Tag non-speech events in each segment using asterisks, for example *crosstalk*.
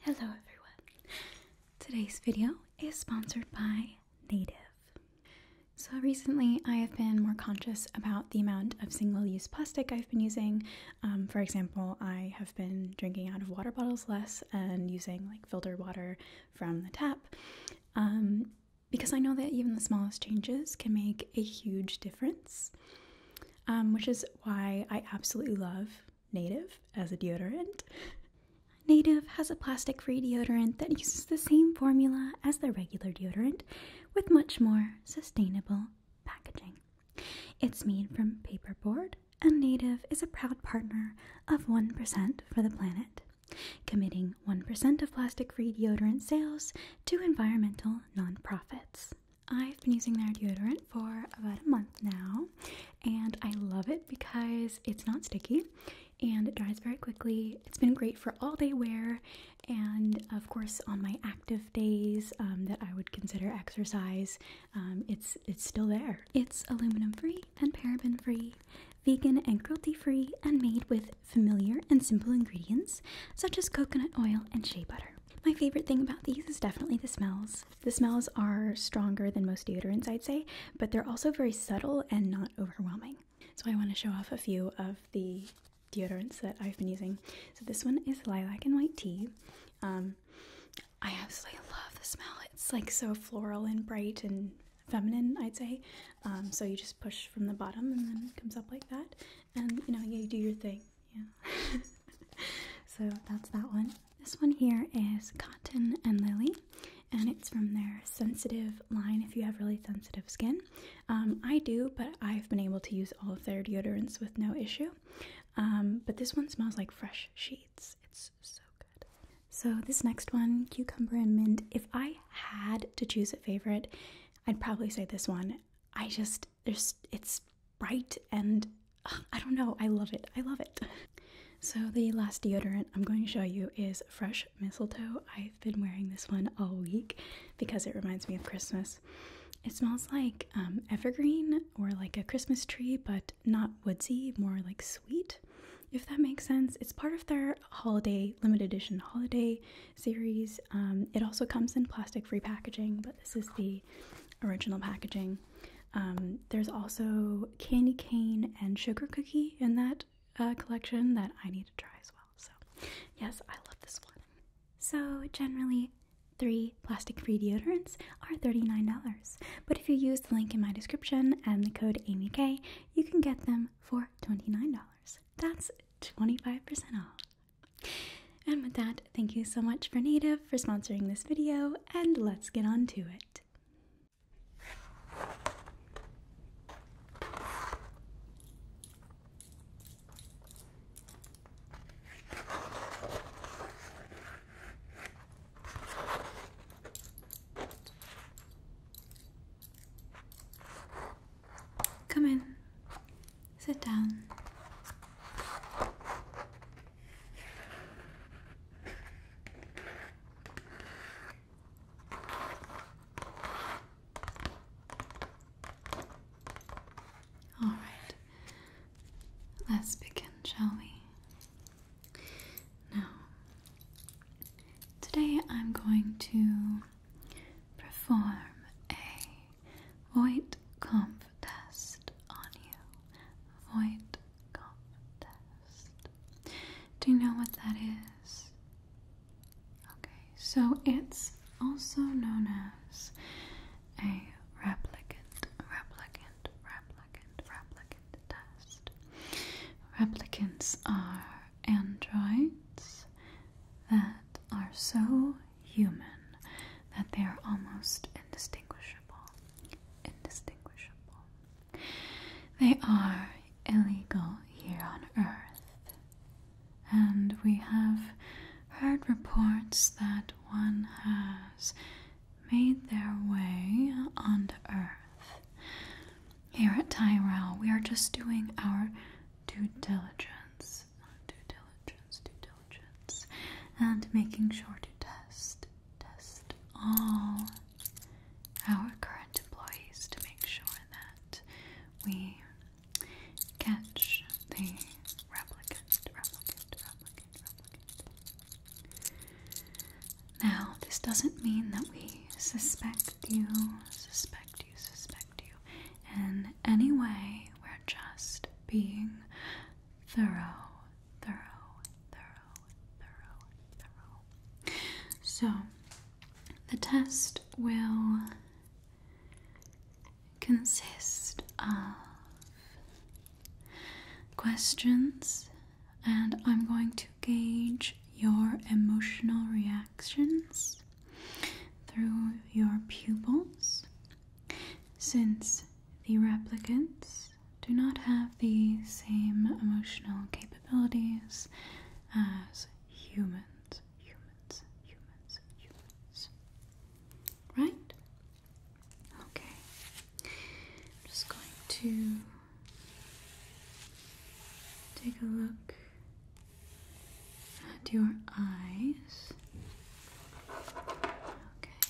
Hello everyone. Today's video is sponsored by Native. So recently I have been more conscious about the amount of single-use plastic I've been using. Um, for example, I have been drinking out of water bottles less and using like filtered water from the tap. Um, because I know that even the smallest changes can make a huge difference, um, which is why I absolutely love Native as a deodorant. Native has a plastic free deodorant that uses the same formula as the regular deodorant with much more sustainable packaging. It's made from paperboard, and Native is a proud partner of 1% for the planet, committing 1% of plastic free deodorant sales to environmental nonprofits. I've been using their deodorant for about a month now, and I love it because it's not sticky and it dries very quickly. It's been great for all day wear, and of course, on my active days um, that I would consider exercise, um, it's it's still there. It's aluminum free and paraben free, vegan and cruelty free, and made with familiar and simple ingredients such as coconut oil and shea butter. My favorite thing about these is definitely the smells. The smells are stronger than most deodorants, I'd say, but they're also very subtle and not overwhelming. So I want to show off a few of the deodorants that I've been using. So this one is lilac and white tea. Um, I absolutely love the smell. It's like so floral and bright and feminine, I'd say. Um, so you just push from the bottom and then it comes up like that. And you know, you do your thing. Yeah. *laughs* so that's that one. This one here is Cotton and Lily, and it's from their sensitive line if you have really sensitive skin. Um, I do, but I've been able to use all of their deodorants with no issue. Um, but this one smells like fresh sheets. It's so good. So, this next one, Cucumber and Mint, if I had to choose a favorite, I'd probably say this one. I just there's it's bright and I don't know, I love it. I love it. So the last deodorant I'm going to show you is Fresh Mistletoe. I've been wearing this one all week because it reminds me of Christmas. It smells like um, evergreen or like a Christmas tree, but not woodsy, more like sweet, if that makes sense. It's part of their holiday, limited edition holiday series. Um, it also comes in plastic free packaging, but this is the original packaging. Um, there's also candy cane and sugar cookie in that uh, collection that I need to try as well. So, yes, I love this one. So, generally, three plastic free deodorants are $39. But if you use the link in my description and the code AmyK, you can get them for $29. That's 25% off. And with that, thank you so much for Native for sponsoring this video, and let's get on to it. Come in. Sit down. All right, let's begin, shall we? Now, today I'm going to perform a Void conf test on you. Void conf test. Do you know what that is? Okay, so it's also known as a replicant, replicant, replicant, replicant test. Replicants are androids that are so human that they are almost indistinguishable. Indistinguishable. They are illegal here on Earth, and we have heard reports that one has made their way onto Earth. Here at Tyrell, we are just doing our due diligence. Due diligence, due and making sure to test, test all our current employees to make sure that we catch the replicant, replicant, replicant, replicant. Now, this doesn't mean that we suspect you, suspect you, suspect you in any way. We're just being thorough, thorough, thorough, thorough, thorough. So, the test will consist of questions, and I'm going to gauge your emotional reactions through your pupils. Since the replicants do not have the same emotional capabilities as humans, humans, humans, humans. Right? Okay. I'm just going to take a look at your eyes. Okay.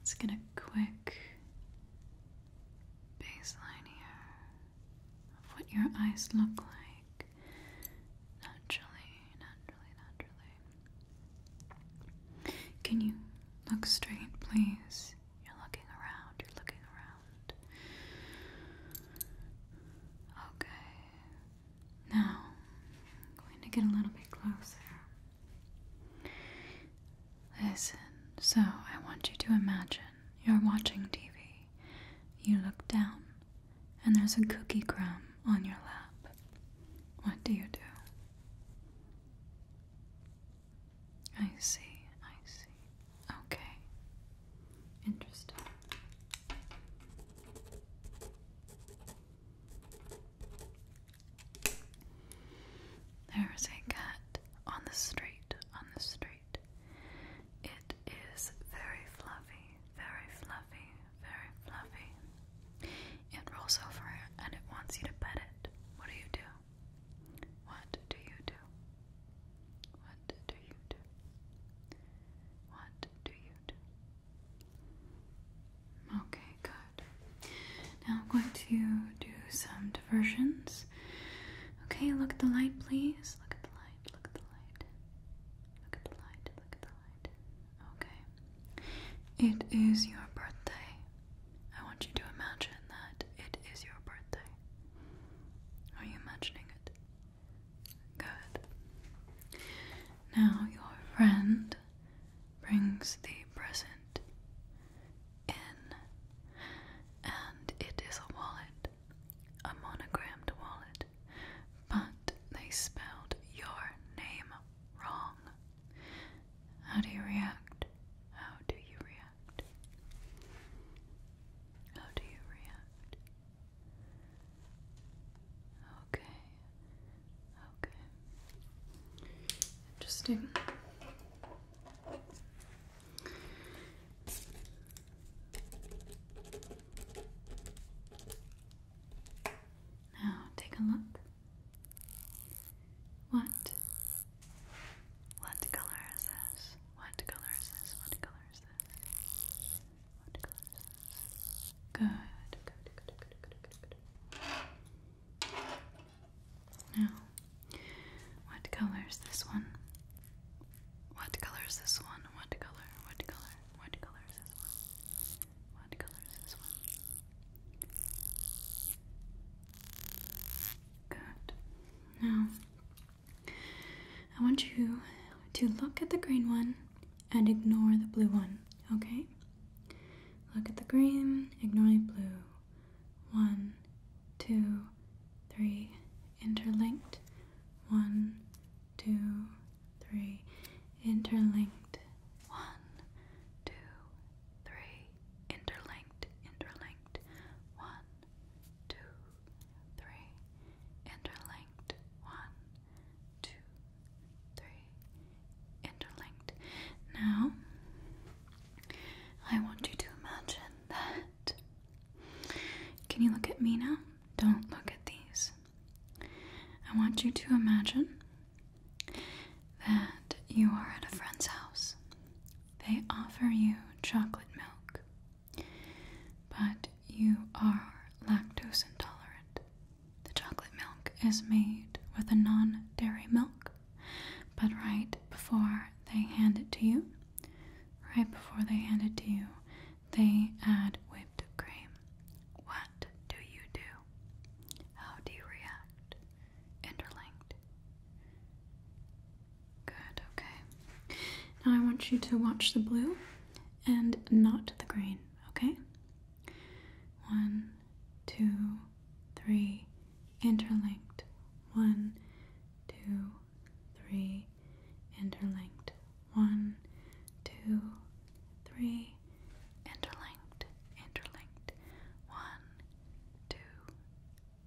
Let's get a quick baseline here of what your eyes look like naturally, naturally, naturally. Can you look straight, please? You're looking around, you're looking around. Okay, now, I'm going to get a little bit closer. Listen, so I want you to imagine you're watching TV. You look down, and there's a cookie crumb on your lap. What do you do? I see, I see. Okay. Interesting. There is a cat on the street, on the street. It is very fluffy, very fluffy, very fluffy. It rolls over and it wants you to pet it. What do you do? What do you do? What do you do? What do you do? Okay, good. Now I'm going to do some diversions. Okay, look at the light, please. Look at the light, look at the light. Look at the light, look at the light. Okay. It is your birthday. I want you to imagine that it is your birthday. Are you imagining it? Good. Now your friend brings the present in, and it is a wallet, a monogrammed wallet, but they spelled your name wrong. How do you react? How do you react? How do you react? Okay. Okay. Interesting. Now take a look. What? What color is this? What color is this? What color is this? Good, good, good, good, good, good, good. Now, what color is this one? What color is this one? What color? What color? What color is this one? What color is this one? Good. Now, I want you to look at the green one and ignore the blue one, okay? Look at the green, ignore the blue. One, two, three, interlinked. One, two, three, interlinked. One, two, three, interlinked, interlinked. One, two, three, interlinked. One, two, three, interlinked. Now, I want you to imagine that. Can you look at me now? Don't look at these. I want you to imagine that you are at a friend's house. They offer you chocolate milk, but you are lactose intolerant. The chocolate milk is made with a non dairy milk, but right before they hand it to you, right before they hand it to you, they add whipped cream. What do you do? How do you react? Interlinked. Good, okay. Now I want you to watch the blue and not the green, okay? One, two, three, interlinked. One, two, three, interlinked. One, two, three, interlinked, interlinked. One, two,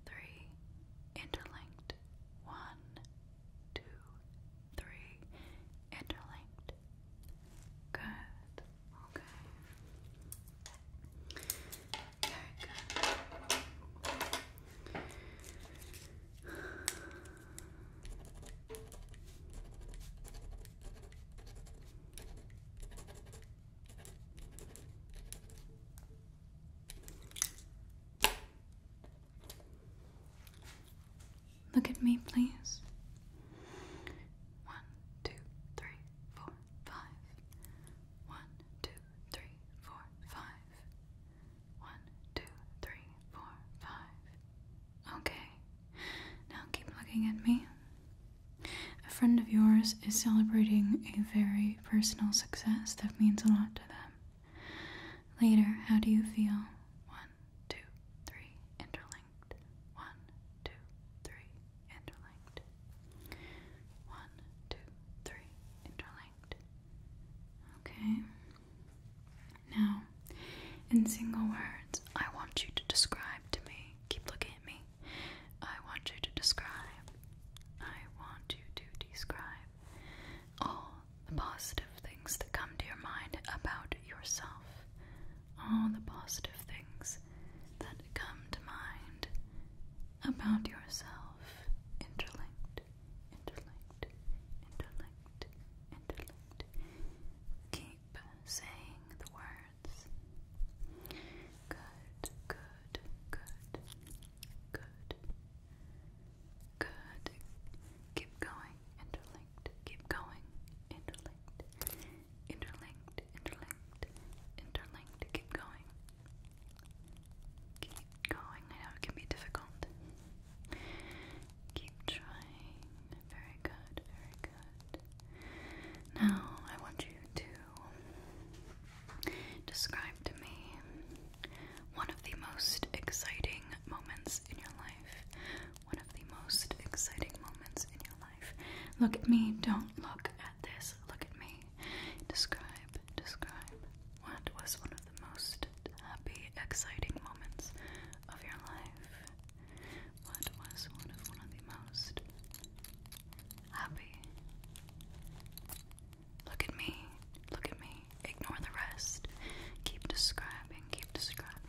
three, interlinked. One, two, three, interlinked. Good. Okay. Very good. Look at me, please. One, two, three, four, five. One, two, three, four, five. One, two, three, four, five. Okay. Now keep looking at me. A friend of yours is celebrating a very personal success that means a lot to them. Later, how do you feel? One, one, two, three, interlinked. One, two, three, interlinked. One, two, three, interlinked. Okay. Now, in single words, I want you to describe to me. Keep looking at me. I want you to describe. I want you to describe all the positive things that come to your mind about yourself. All the positive things that come to mind about yourself. Interlinked, interlinked, interlinked, interlinked. Keep saying the words. Good, good, good, good. Good. Keep going. Interlinked. Keep going. Interlinked. Interlinked. Interlinked. Interlinked. Keep going. Keep going. I know it can be difficult. Keep trying. Very good. Very good. Now I want you to describe to me one of the most exciting moments in your life one of the most exciting moments in your life. Look at me, don't look at this, look at me. Describe, describe what was one of the most happy, exciting moments of your life. What was one of one of the most happy? Look at me, look at me, ignore the rest. Keep describing, keep describing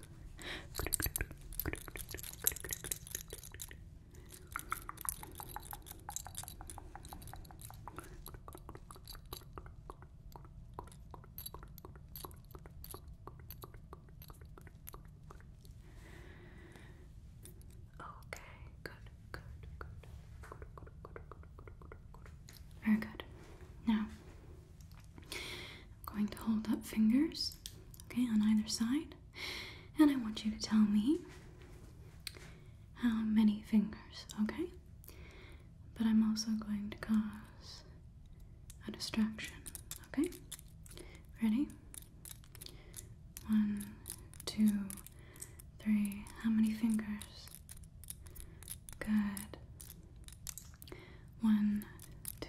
Okay, good, good, good. Very good. Now, I'm going to hold up fingers, okay, on either side, and I want you to tell me how many fingers, okay? But I'm also going to cause a distraction, okay? Ready? One, two, three. How many fingers? Good. One, two,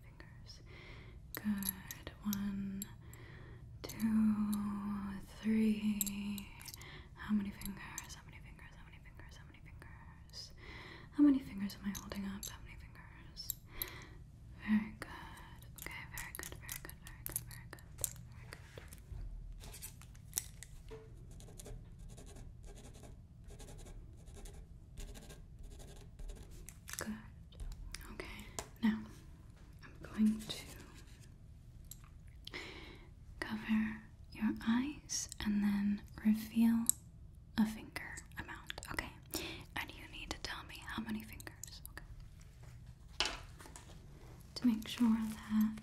fingers. Good. One, two, three. How many fingers? How many fingers? How many fingers? How many fingers? How many fingers am I holding up? How many fingers? Very good. Okay, very good, very good, very good, very good. Very good. Good. Okay, now I'm going to cover your eyes and then reveal a finger amount, okay? And you need to tell me how many fingers, okay? To make sure that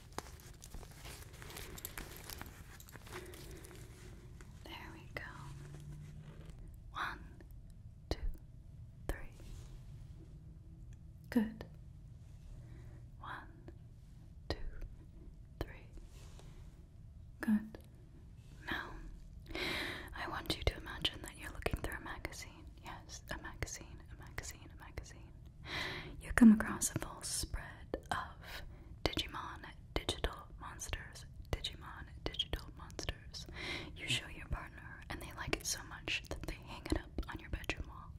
There we go. One, two, three. Good. One, two, three. Good. Now, I want you to imagine that you're looking through a magazine. Yes, a magazine, a magazine, a magazine you come across a full spread of Digimon Digital Monsters. Digimon Digital Monsters. You show your partner, and they like it so much that they hang it up on your bedroom wall.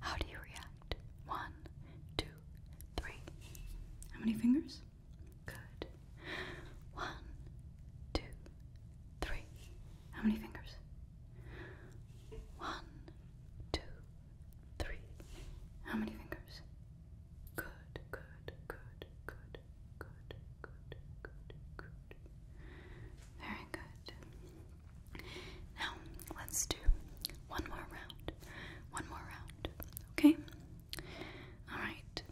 How do you react? One, two, three. How many fingers? Good. One, two, three. How many fingers? One, two, three. How many fingers? Good, good, good, good, good, good, good, good. Very good. Now let's do one more round. One more round. Okay? Alright.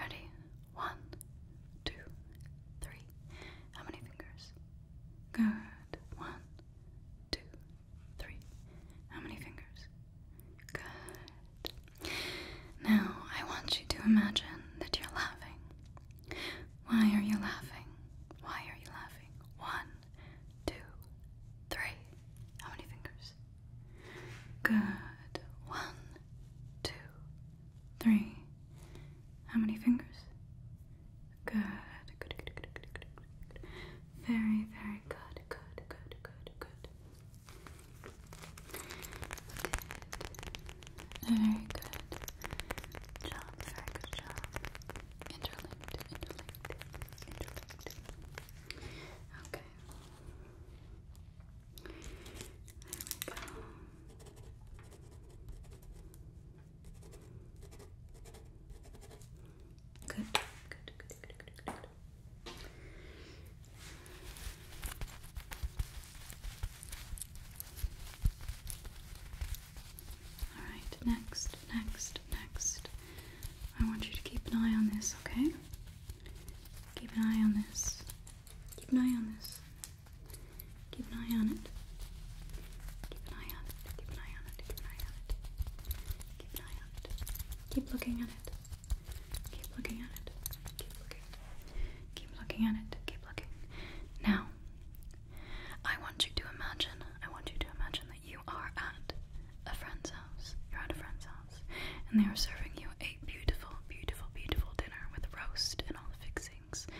Ready? One, two, three. How many fingers? Good. One, two, three. How many fingers? Good. Now I want you to imagine that you're laughing. Why are you laughing? Why are you laughing? One, two, three. How many fingers? Good. One, two, three. How many fingers? Good. Very, very good. Good, good, good, good. Very good. Job, very job. Interlinked, interlinked, interlinked. Okay. There we go. Good, good, good, good, good, good, Alright, next, next, next. I want you to keep an eye on this, okay? Keep an eye on this. Keep an eye on this. Keep an eye on it. Keep an eye on it. Keep an eye on it. Keep an eye on it. Keep an eye on it. Keep looking at it. Keep looking at it. Keep looking. Keep looking at it. Keep looking. Now, I want you to imagine. I want you to imagine that you are at a friend's house. You're at a friend's house, and they are serving you a beautiful, beautiful, beautiful dinner with roast and all the fixings roast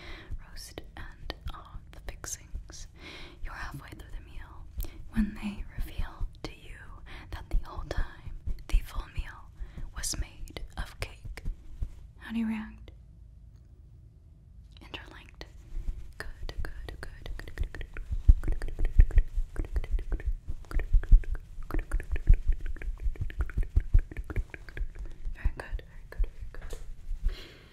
and the fixings. You're halfway through the meal when they reveal to you that the whole time the full meal was made of cake. How do you react? Interlinked. very good, very good, very good.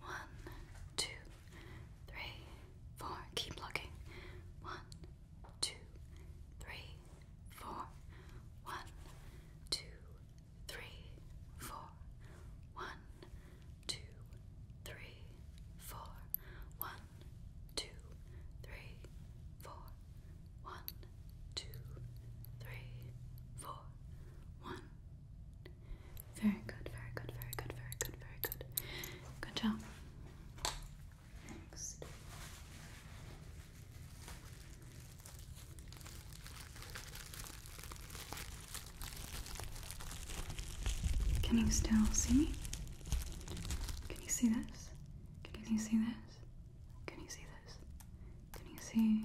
one, two, three, four. Keep looking 1234 1234 1234 1234 One, two, three, four. One, two, three, four. One, two, three, four. One, two, three, four. One, two, three, four. One, very good, very good, very good, very good, very good. Good job. Next. Can you still see me? Can you see this? Can you see this? Can you see this? Can you see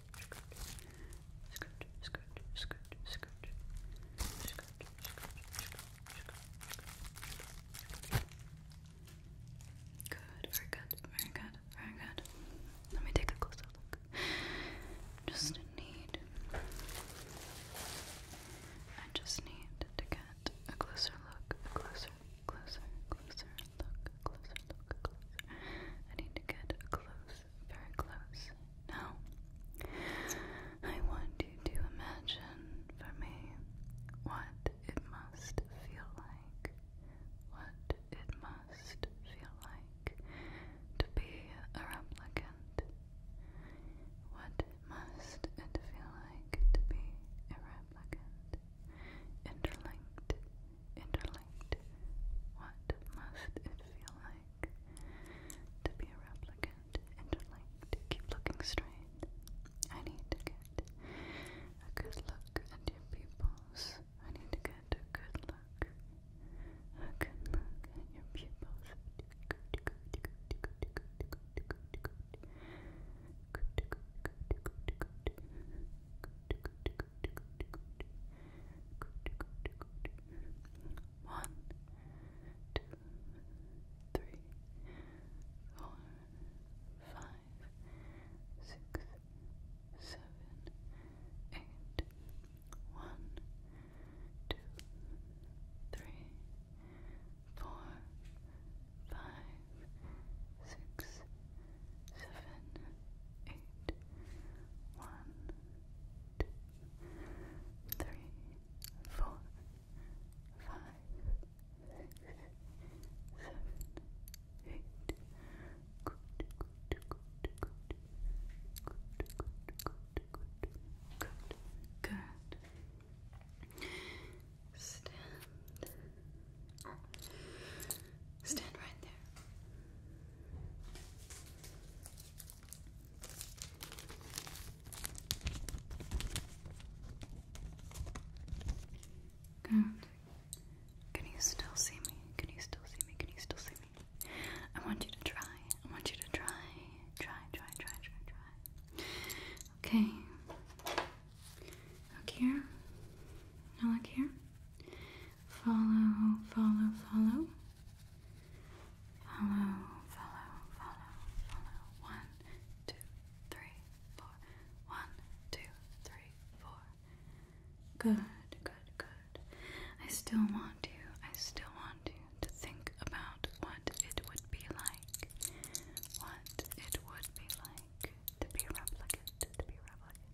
skirt, skirt, skirt, skirt, skirt, Good, very good, very good, very good. Let me take a closer look. Just need, I just need to get a closer look, a closer, closer, closer look, closer look, closer. I need to get a close very close. Now, I want you to imagine for me what it must feel like, what it must feel like to be a replicant, what must it feel like to be a replicant, interlinked interlinked. What must it feel like to be a replicant? Interlinked. Keep looking straight. I need to get a good look at your pupils. I need to get a good look. A at your pupils. One, two, three, four, five, six, seven, eight. One, two, three, four, five, six, seven, eight. One, two, three, four, five, six, seven, eight. Good, good, good, good, good, good, good, good, good. Stand. Stand right there. Can you still see me? Can you still see me? Can you still see me? I want you to try. I want you to try. Try, try, try, try, try. Okay. Look here. Now look here follow, follow, follow, follow, follow, follow, follow. One, two, three, four. One, two, three, four. Good, good, good. I still want you, I still want you to think about what it would be like. What it would be like to be a replicant, to be a replicant.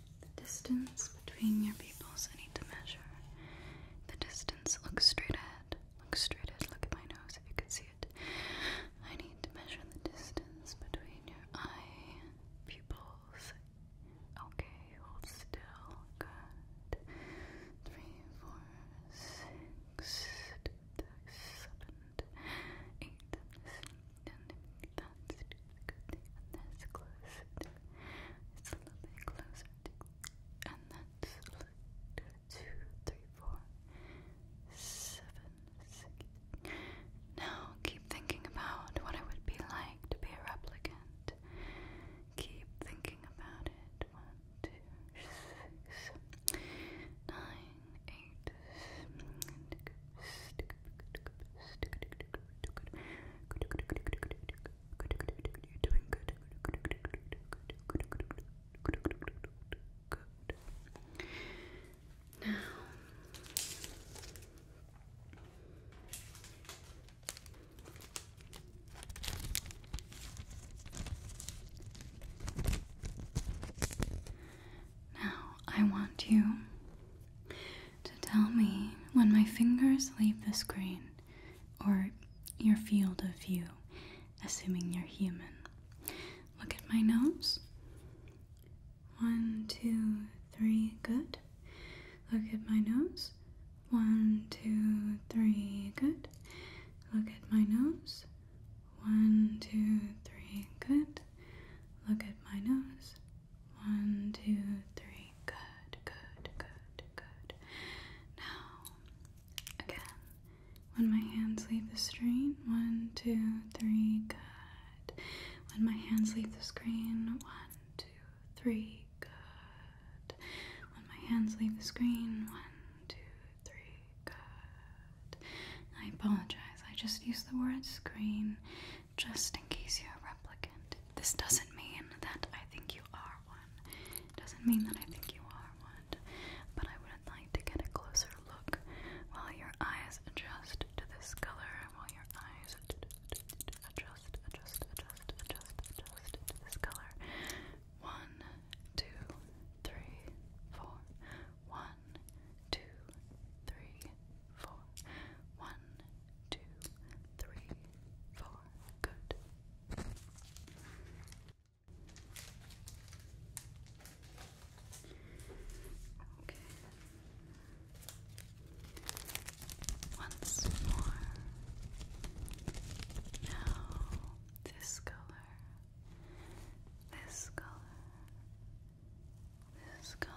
The distance between your pupils, I need to measure. The distance, look straight ahead. Look straight ahead. Look at my nose if you can see it. I need to measure the distance between your eye pupils. Okay, hold still. Good. Three, four, six, seven, eight. good. That's close tick. It's a little bit closer, And that's two, three, four, seven, six. Now keep thinking about what it would be like to be a replicant. Keep thinking about it. One, two, six, nine, eight, now I want you to tell me when my fingers leave the screen or your field of view, assuming you're human. Look at my nose. One, two, three, good. Look at my nose. One, two, three, good. Look at my nose. One, two, three, good. Look at my nose. One, two, three. Good, good, good, good. Now, again, when my hands leave the screen, one, two, three. Good. When my hands leave the screen, one, two, three. Good. When my hands leave the screen, one, two, three. Good. I apologize. I just used the word screen just in case you're a replicant. This doesn't mean that I think you are one. doesn't mean that I think you are one. But I would like to get a closer look while your eyes adjust to this color, while your eyes adjust, adjust, adjust, adjust, adjust to this color. One, two, three, four. One, two, three, four. One, two, three, four good. Okay. Once more. Now, this color, this color, this color,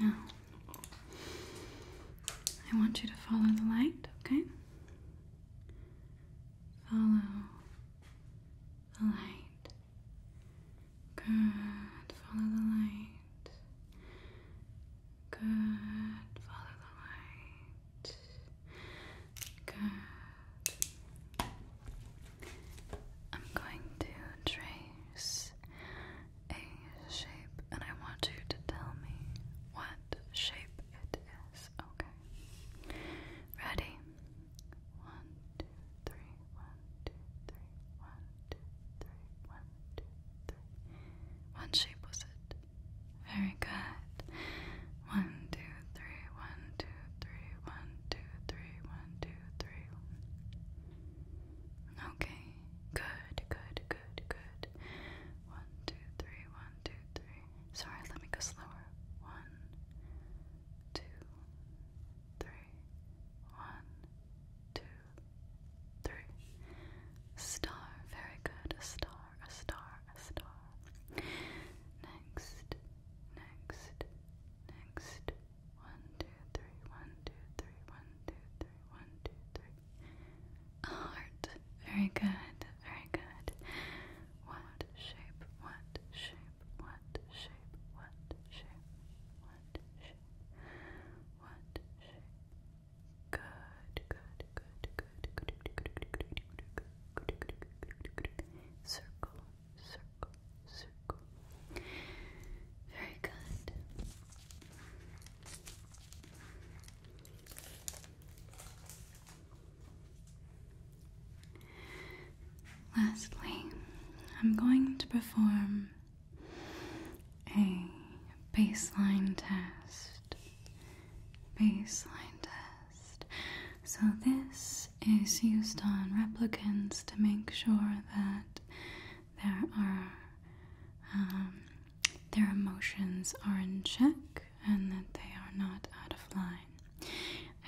now, I want you to follow the light, okay? Follow the light. Good. Follow the light. Good. Follow the light. Good. I'm going to trace a shape and I want you to tell me what shape it is. Okay. Ready? One, two, three, one, two, three, one, two, three, one, two, three. One shape was it? Very good. One, two, three, one, two, three, one, two, three, one, two, three. Okay, good, good, good, good. One, two, three, one, two, three. Sorry, let me go slower. One, two, three, one, two, three. Star, very good. A star, a star, a star. Next, Next, next, one, two, three, one, two, three, one, two, three, one, two, three. heart. Very good, very good. What shape? What shape? What shape? What shape? What shape? What shape? good, good, good, good, good, good, good, good, good, good, Circle, circle, circle. Very good. Lastly, I'm going to perform a baseline test. Baseline test. So, this is used on replicants to make sure that there are um, their emotions are in check and that they are not out of line.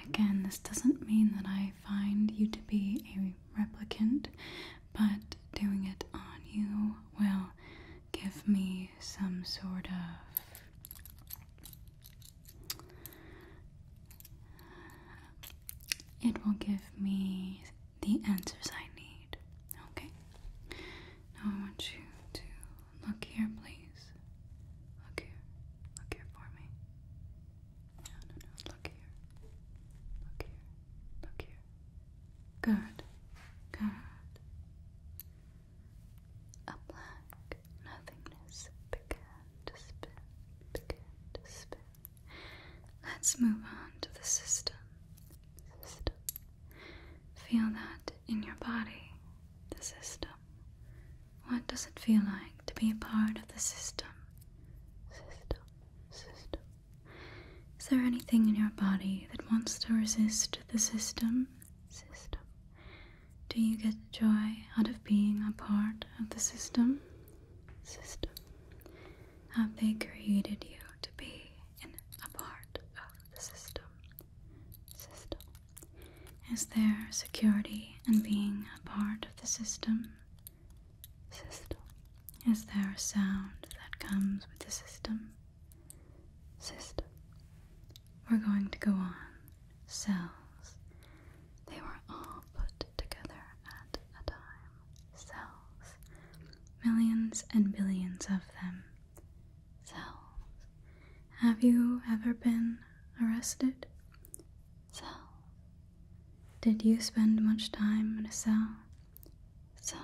Again, this doesn't mean that I find you to be a replicant, but doing it on you will give me some sort of it will give me the answers I need. Okay? Now I want you to look here, please. Look here. Look here for me. No, no, no. Look here. Look here. Look here. Good. Good. A black nothingness began to spin, Let's move on to the system. Feel that in your body, the system. What does it feel like to be a part of the system? System, system. Is there anything in your body that wants to resist the system? System. Do you get joy out of being a part of the system? System. Have they created you to be a part of the system? System. Is there security in being a part of the system? System. Is there a sound that comes with the system? System. We're going to go on cells. They were all put together at a time. Cells. Millions and billions of them. Cells. Have you ever been arrested? Cells, Did you spend much time in a cell? Cells.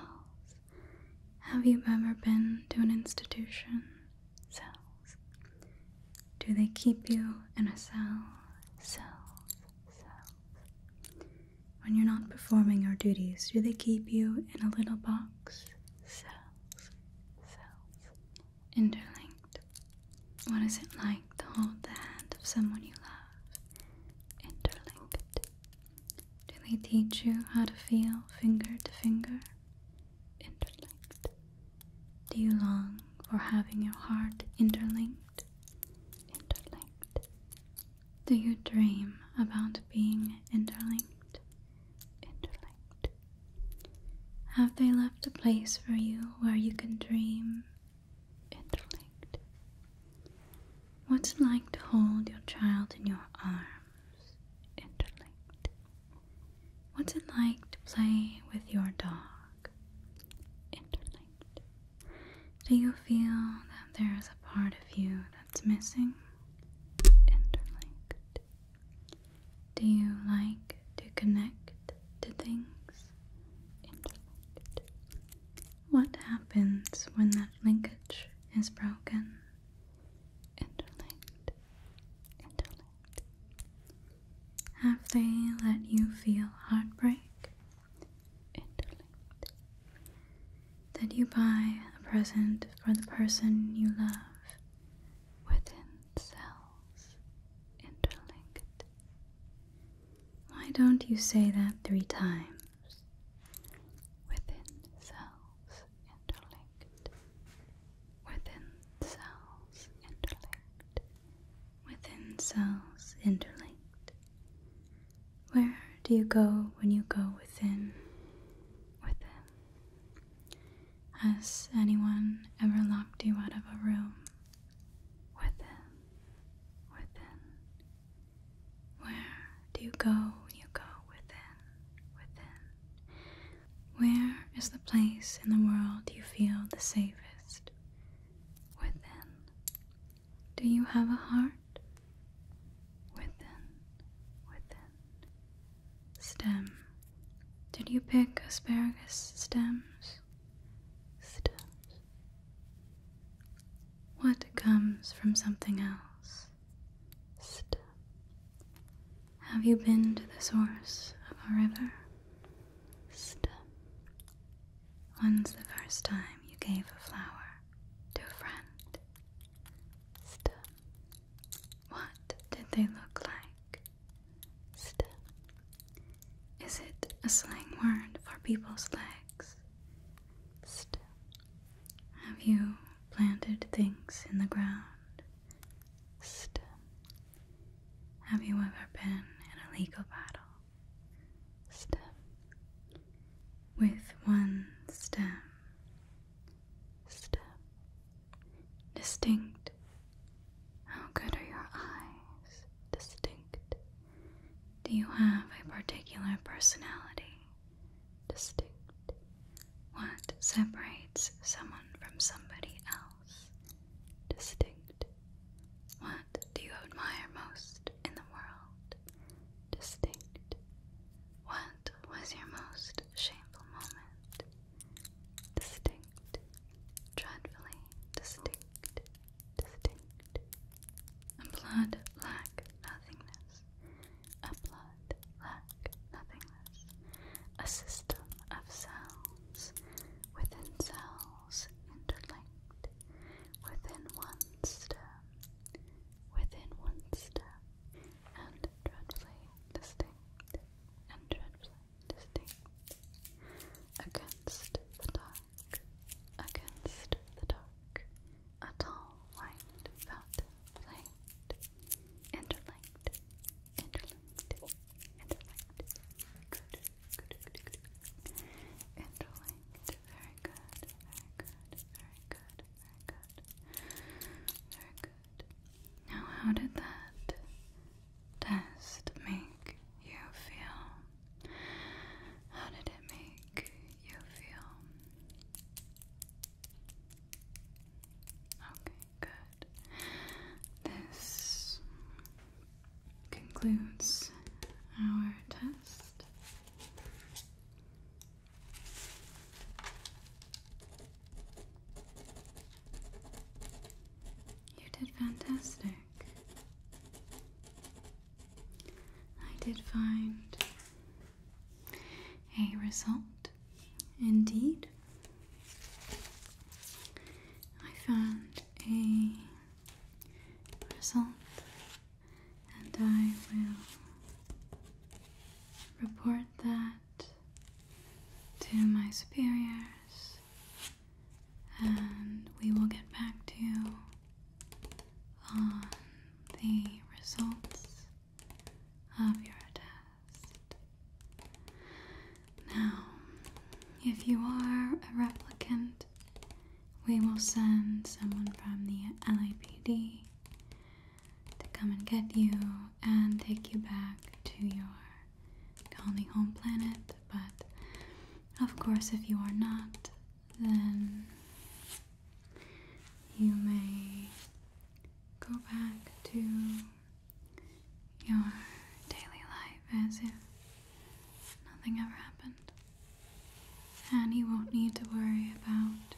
Have you ever been to an institution? cells? Do they keep you in a cell, cells, cells? When you're not performing your duties, do they keep you in a little box, cells, cells, interlinked? What is it like to hold the hand of someone you love, interlinked? Do they teach you how to feel finger to finger, interlinked? Do you long for having your heart interlinked? Interlinked. Do you dream about being interlinked? Interlinked. Have they left a place for you where you can dream? Interlinked. What's it like to hold your child in your arms? Interlinked. What's it like to play with your dog? Interlinked. Do you feel that there is a part of you that's missing? Interlinked. Do you like to connect to things? Interlinked. What happens when that linkage is broken? Interlinked. Interlinked. Have they let you feel heartbreak? Interlinked. Did you buy a present for the person you love? Within cells. Interlinked. Why don't you say that three times? Within cells interlinked, within cells interlinked, within cells interlinked. Where do you go when you go within? Within. Has anyone ever locked you out of a room? Within. Within. Where do you go when you go within? Within. Where is the place in the world you feel the safest? Within. Do you have a heart? Within, within. Stem. Did you pick asparagus stems? Stems. What comes from something else? Stem. Have you been to the source of a river? Step. When's the first time you gave a flower to a friend? Step. What did they look like? Step. Is it a slang word for people's legs? Step. Have you planted things in the ground? Still, have you ever been in a legal battle? Still, with one stem, still, distinct. How good are your eyes? Distinct. Do you have a particular personality? Distinct. What separates someone from somebody else? Distinct. What do you admire most in the world? Distinct. What was your most shameful moment? Distinct. Dreadfully distinct. Distinct. A blood lack nothingness. A blood a system of cells within cells interlinked, within one stem, within one stem, and dreadfully distinct, and dreadfully distinct, against the dark, against the dark, a tall white fountain interlinked, interlinked, interlinked, good, good, good, good, interlinked, very good, very good, very good, very good, very good. Now, how did that test make you feel? How did it make you feel? Okay. Good. This concludes our test. You did fantastic. I did find a result, indeed, I found a result and I will report that to my superiors and we will get back to you on the results of your test. Now, if you are a replicant, we will send someone from the LAPD to come and get you and take you back to your colony home planet. But of course, if you are not, then you may go back to your daily life as if nothing ever happened. And he won't need to worry about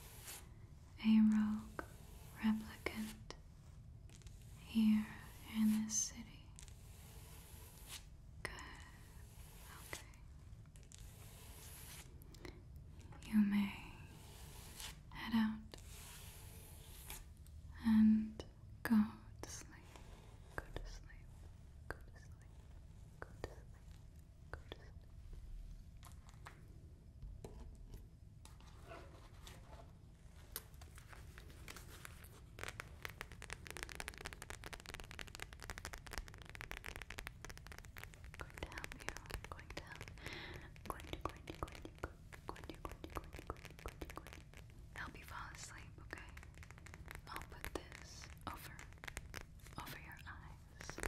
a rogue replicant here in this city. Good. Okay. You may head out and go to sleep. Go to sleep. Go to sleep. Go to sleep. Go to sleep. Going to help you. Going to help. Going going going going Courtney, Courtney, Courtney, Help you fall asleep, okay? I'll put this over, over your eyes.